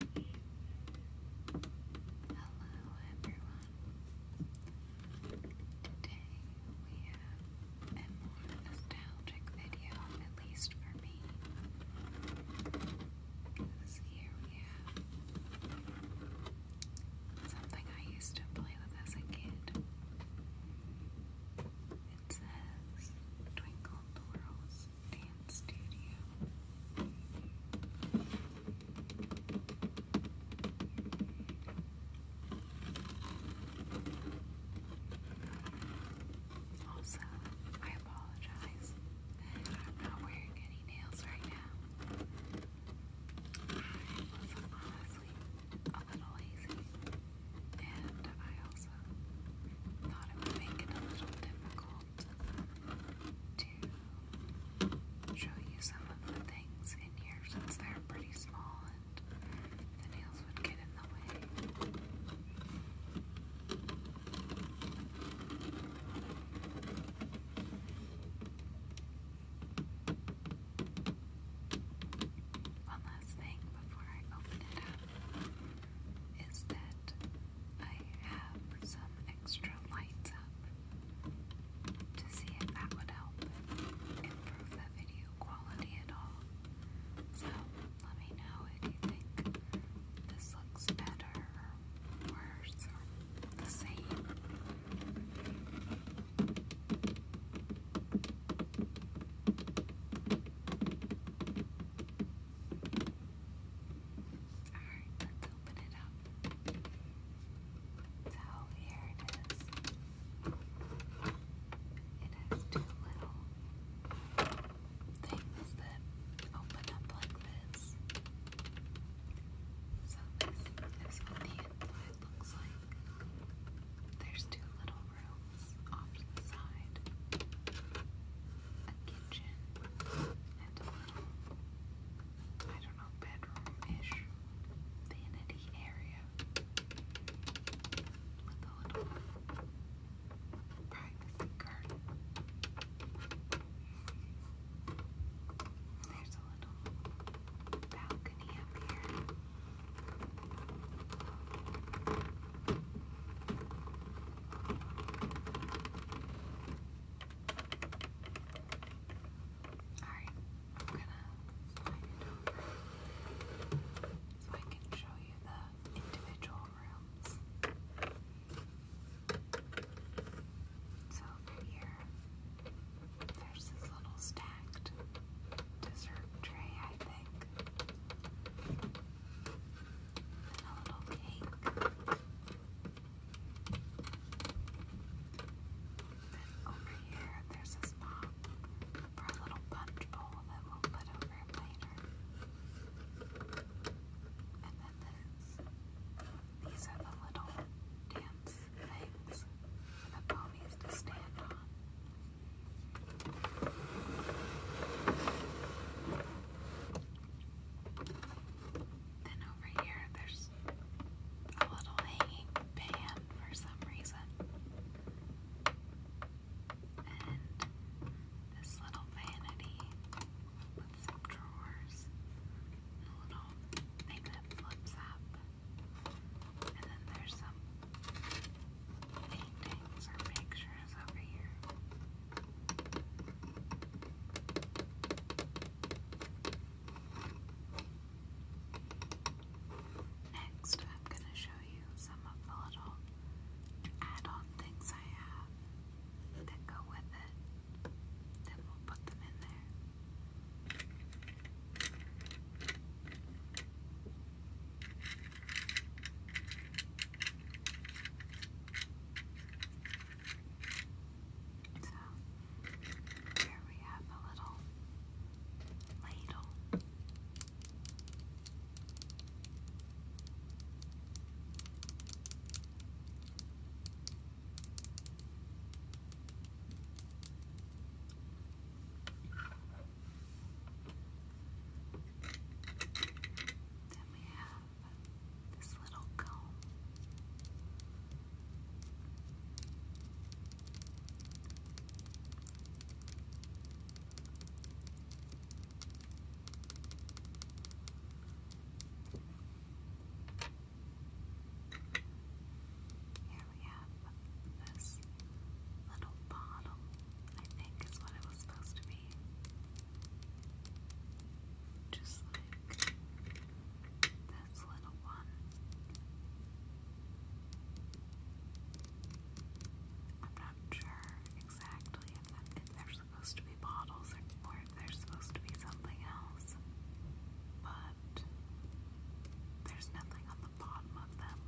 Hello everyone. Today we have a more nostalgic video, at least for me. here we have um, something I used to play with as a kid. It says Twinkle Twirls dance studio. Also, I apologize that I'm not wearing any nails right now. I was honestly a little lazy, and I also thought it would make it a little difficult to show you some of the things in here since they're pretty small and the nails would get in the way. One last thing before I open it up is that I have some extra lights up to see if that would help improve the video quality at all. So let me know if you think this looks better worse or the same. Alright, let's open it up. So here it is. It has two little things that open up like this. So this is what the inside looks like. There's two little rooms off to side a kitchen and a little, I don't know, bedroom-ish vanity area with a little privacy garden. There's a little balcony up here. Alright, I'm gonna slide it over so I can show you the individual rooms. So over here, there's this little stacked dessert tray, I think. And a little cake. Then over here, there's a spot for a little punch bowl that we'll put over later. And then this. These are the little dance things for the ponies to stand on. Then over here, there's a little hanging pan for some reason. And this little vanity with some drawers, a little thing that flips up. And then there's some paintings or pictures over here. Next, I'm going to show you some of the little add on things I have that go with it. Then we'll put them in there. So here we have a little ladle. Then we have this little comb. Here we have this little bottle, I think is what it was supposed to be. Just like this little one. I'm not sure exactly if, if they supposed to be bottles or, if they supposed to be something else, but there's nothing on the bottom of them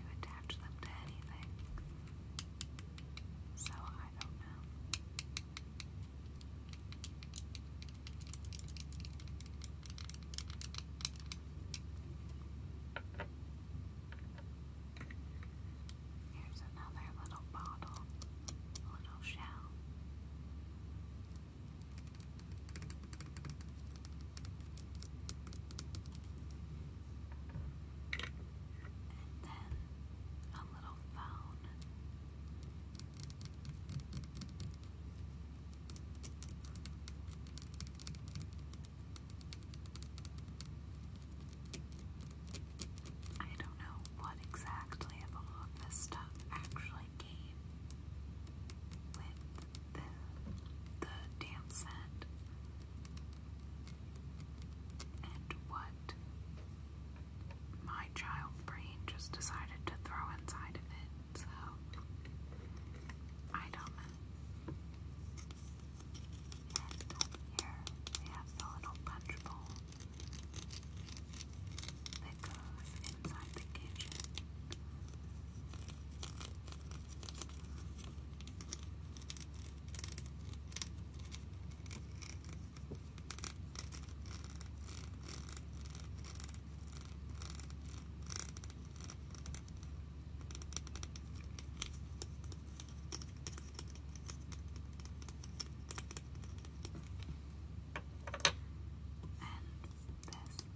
to attach them to anything. So I don't know. Here's another little bottle, a little shell. And then a little phone. I don't know what exactly all of this stuff actually came with the, the dance set and what my child brain just decided to throw inside of it, so I don't And up here we have the little punch bowl that goes inside the kitchen. And this,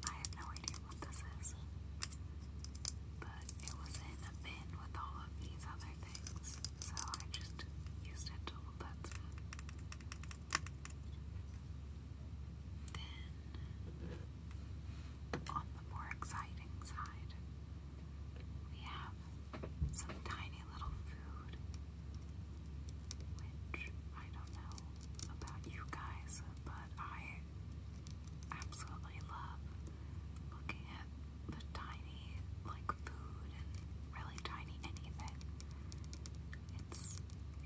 I have no idea what this is, but it was in a bin with all of these other things. So I just used a tool that's Then, on the more exciting side, we have some tiny little food, which I don't know about you guys, but I absolutely love looking at the tiny, like, food really tiny anything. It's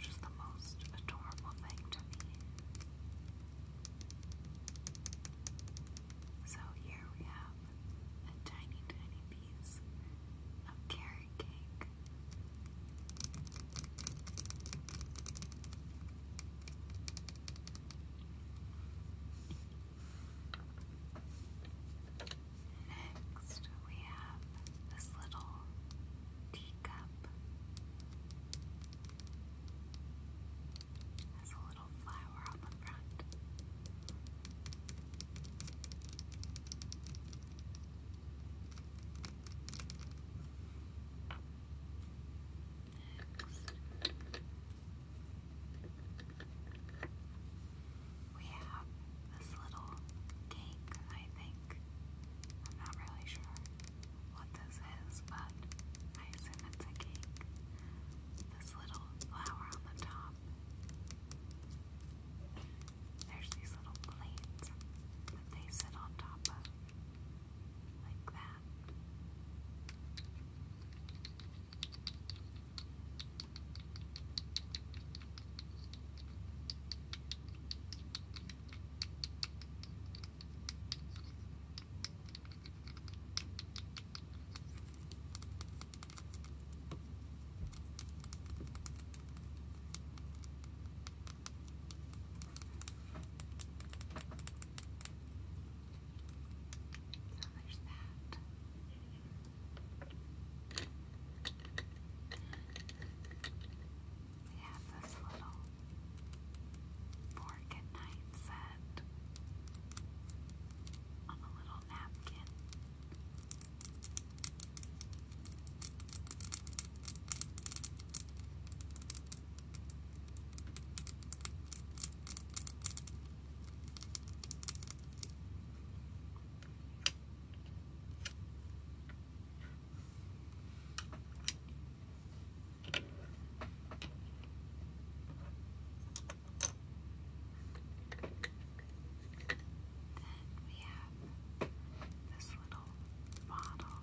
just the most adorable thing to me. So here we have a tiny, tiny piece of carrot cake. Next, we have this little teacup. Has a little flower on the front. Next we have this little cake, I think. I'm not really sure what this is, but I assume it's a cake. This little flower on the top. There's these little plates that they sit on top of, like that. So there's that. We have this little fork and set on a little napkin. Then we have this little bottle.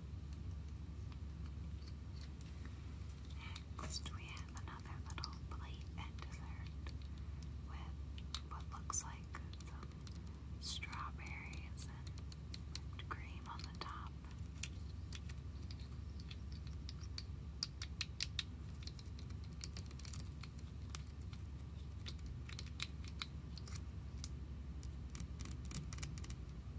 Next, we have another little plate and dessert with what looks like some strawberries and cream on the top.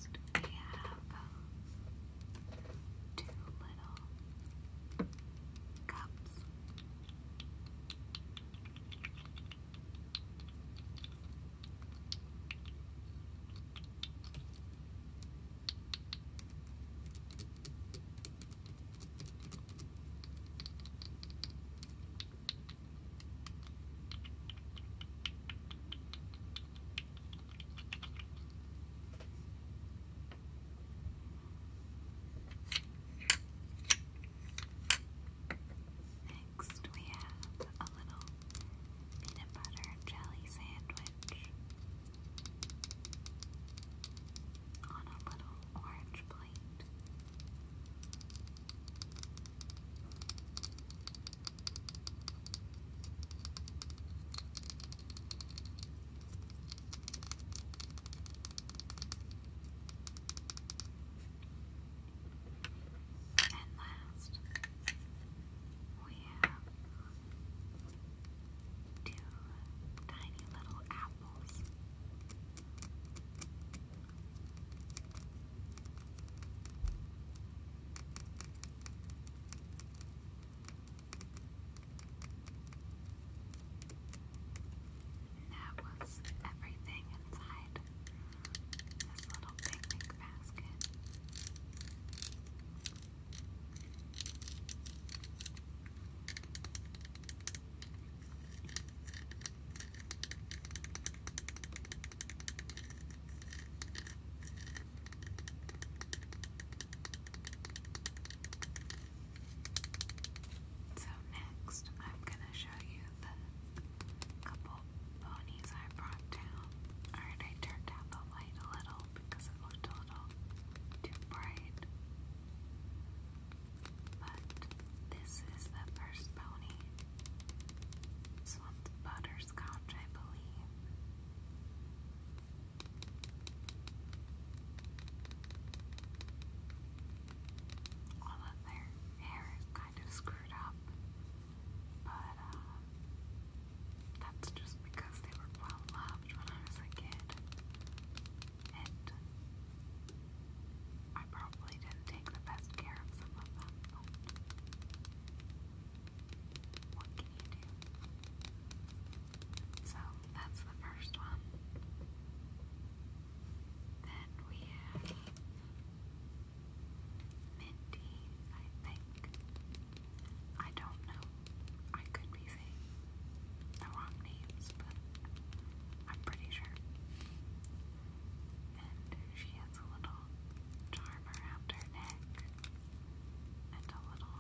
next I have um, two little cups. Next, we have a little peanut butter jelly sandwich on a little orange plate. And last, we have two tiny little apples. And that was everything inside this little picnic basket. So, next, I'm going to show you the couple ponies I brought down. Alright, I turned down the light a little because it looked a little too bright. But this is the first pony. This Butter Hunter's Couch, All of their hair is kind of screwed up, but uh, that's just because they were well loved when I was a kid. And I probably didn't take the best care of them, so that's the first one. Then we have Minty, I think. I don't know. I could be saying the names, but I'm pretty sure. And she has a little charm around her neck and a little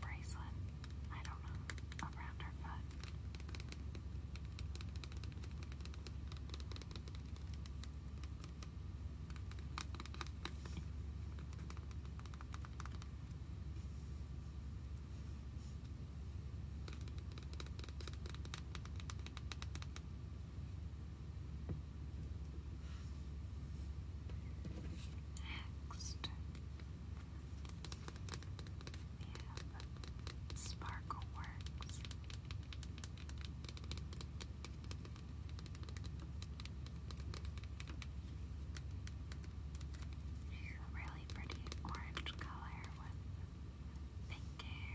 bracelet, I don't know, around her foot. Next, we Sparkle Works. She's a really pretty orange color with pink hair.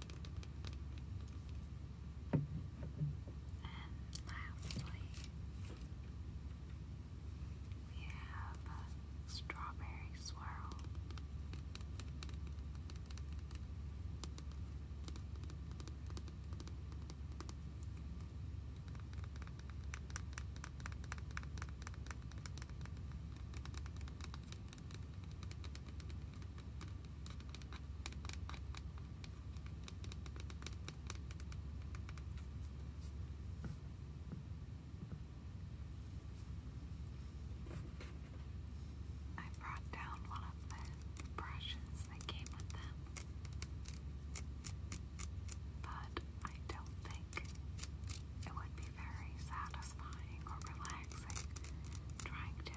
And lastly, we have strawberry swirl. I brought down one of the brushes that came with them, but I don't think it would be very satisfying or relaxing trying to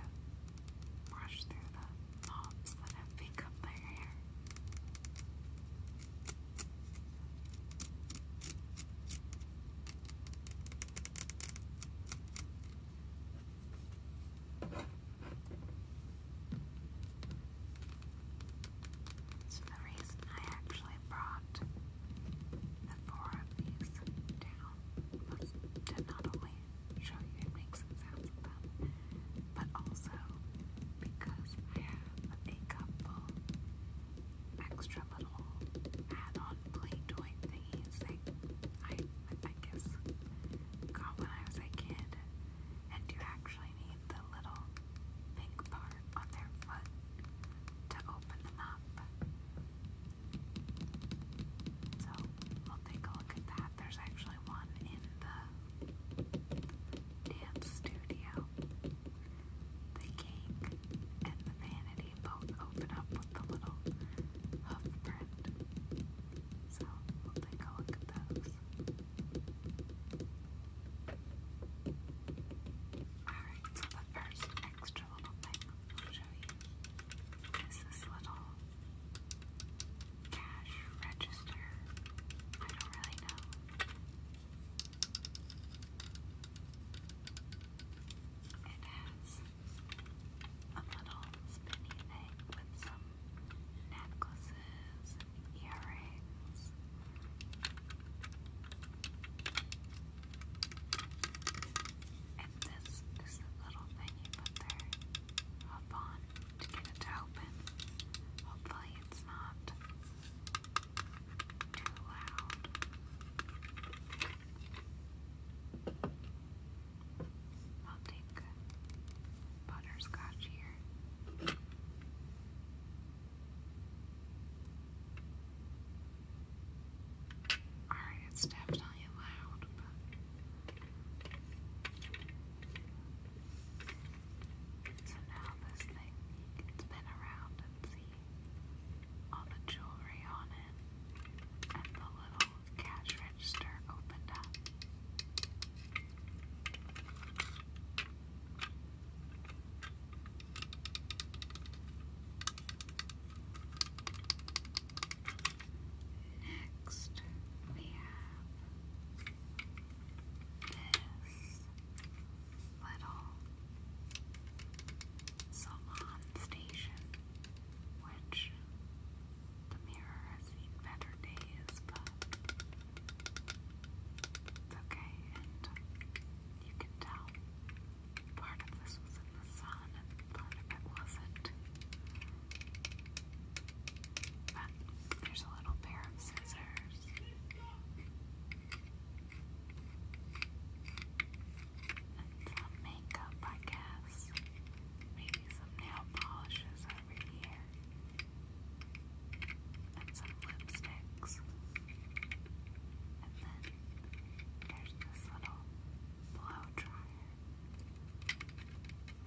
brush through the knobs that have become their hair. So the reason I actually brought the four of these down not only show you and make some sounds of them, but also because I have a couple extra little add-on play toy thingies that I, I guess got when I was a kid. And you actually need the little pink part on their foot to open them up. So we'll take a look at that. There's actually one in the dance studio. The cake and the vanity both open up with the little hoof print. So we'll take a look at those. Alright, so the first extra little thing i you. this little cash register? I don't really know. It has a little spinny thing with some necklaces earrings. This little thing you put there up on to get it to open. Hopefully it's not too loud. I'll take butterscotch here. Alright, it's definitely loud, but. So now this thing, you can spin around and see all the jewelry on it, and the little cash register opened up. Next, we have this little salon station, which the mirror has seen better days, but it's okay, and you can tell Part of this was in the sun and part of it wasn't. But there's a little pair of scissors. And some makeup, I guess. Maybe some nail polishes over here. And some lipsticks. And then there's this little blow dryer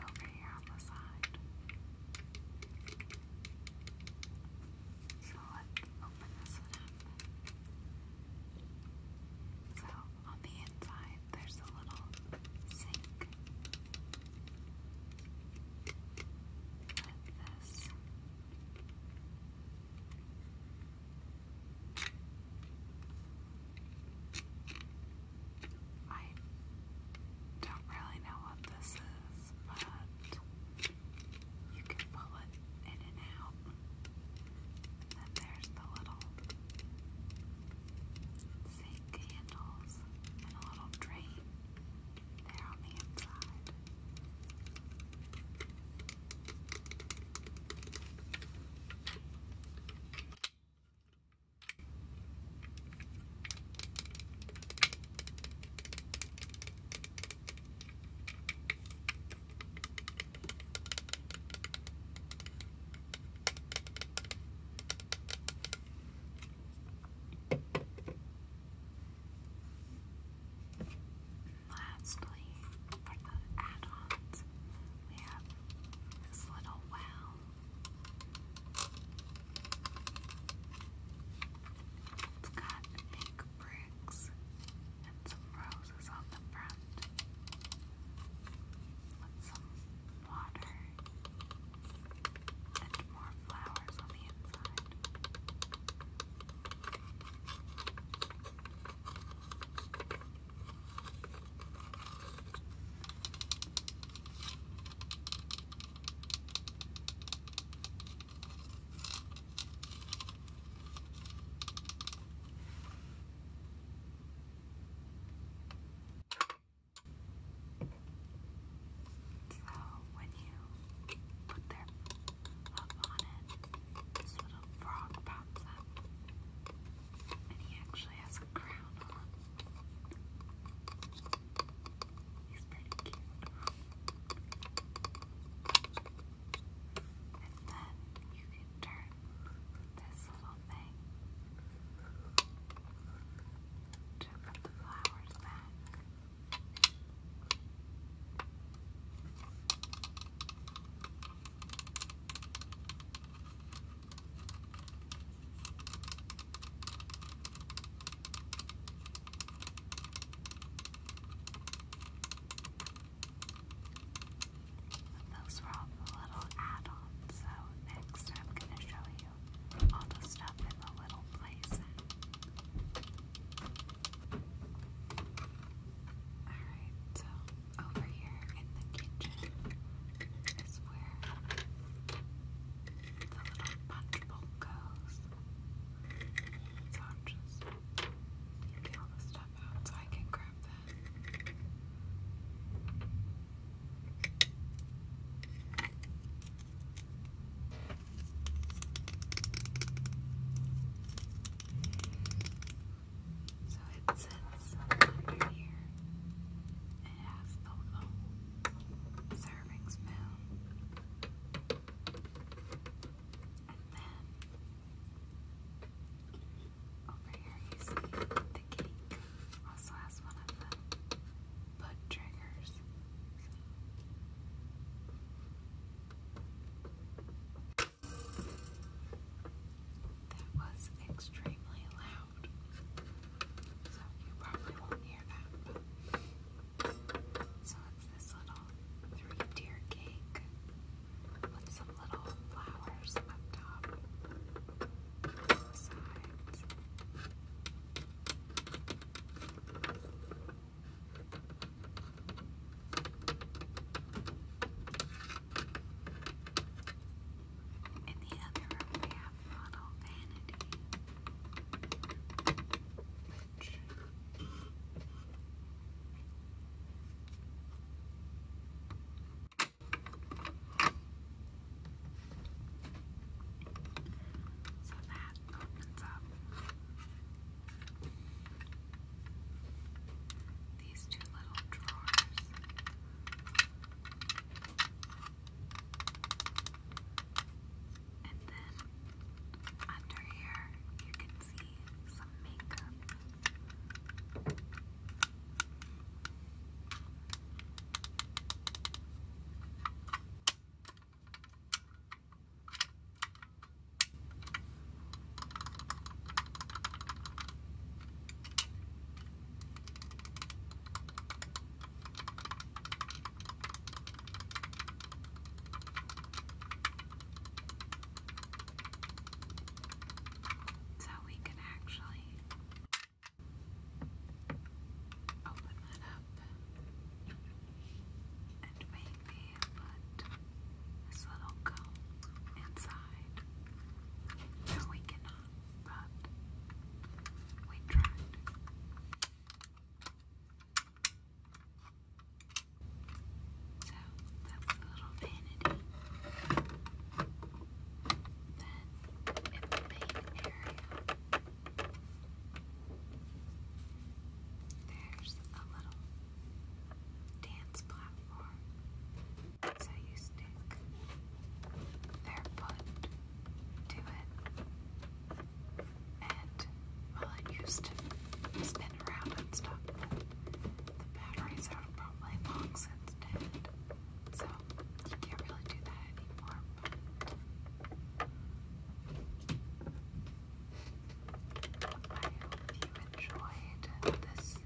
over here on the side. So let's open this one up. So on the inside, there's a little sink with this I don't really know what this is, but you can pull it in and out. And there's the little sink candles and a little drain there on the inside. Lastly, for the add-ons, we have this little wow. It's got pink bricks and some roses on the front with some water and more flowers on the inside. So when you put their hook on it, this is what little frog pops up. And he actually has a crown on. He's pretty cute. And then you can turn this little thing to put the flowers back. But those were all the little add so next I'm going to show you all the stuff in the little place. Alright, so over here in the kitchen is where the little punch bowl goes. So I'm just taking all the stuff out so I can grab that. So it sits under here. It has the little serving spoon. And then over here you see the cake also has one of the butt triggers. That was extremely loud. So you probably won't hear that. So it's this little three-tier cake with some little flowers up top, the sides. In the other room, model vanity, which so that opens up these two little drawers. And then under here, you can see some makeup. So we can actually open that up and maybe put this little comb inside. No, we cannot, but we tried. So that's a little vanity. Then in the main area, there's a little dance platform so you stick their foot to it, and well, used to spin around and stuff, the batteries are probably long since dead, so you can't do that anymore. you enjoyed this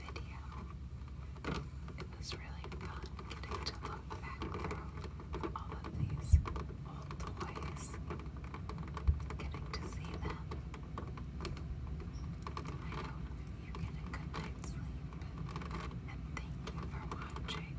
video. It was really fun getting to look back through all of these old toys, getting to see them. I hope you get a good night's sleep, and thank you for watching.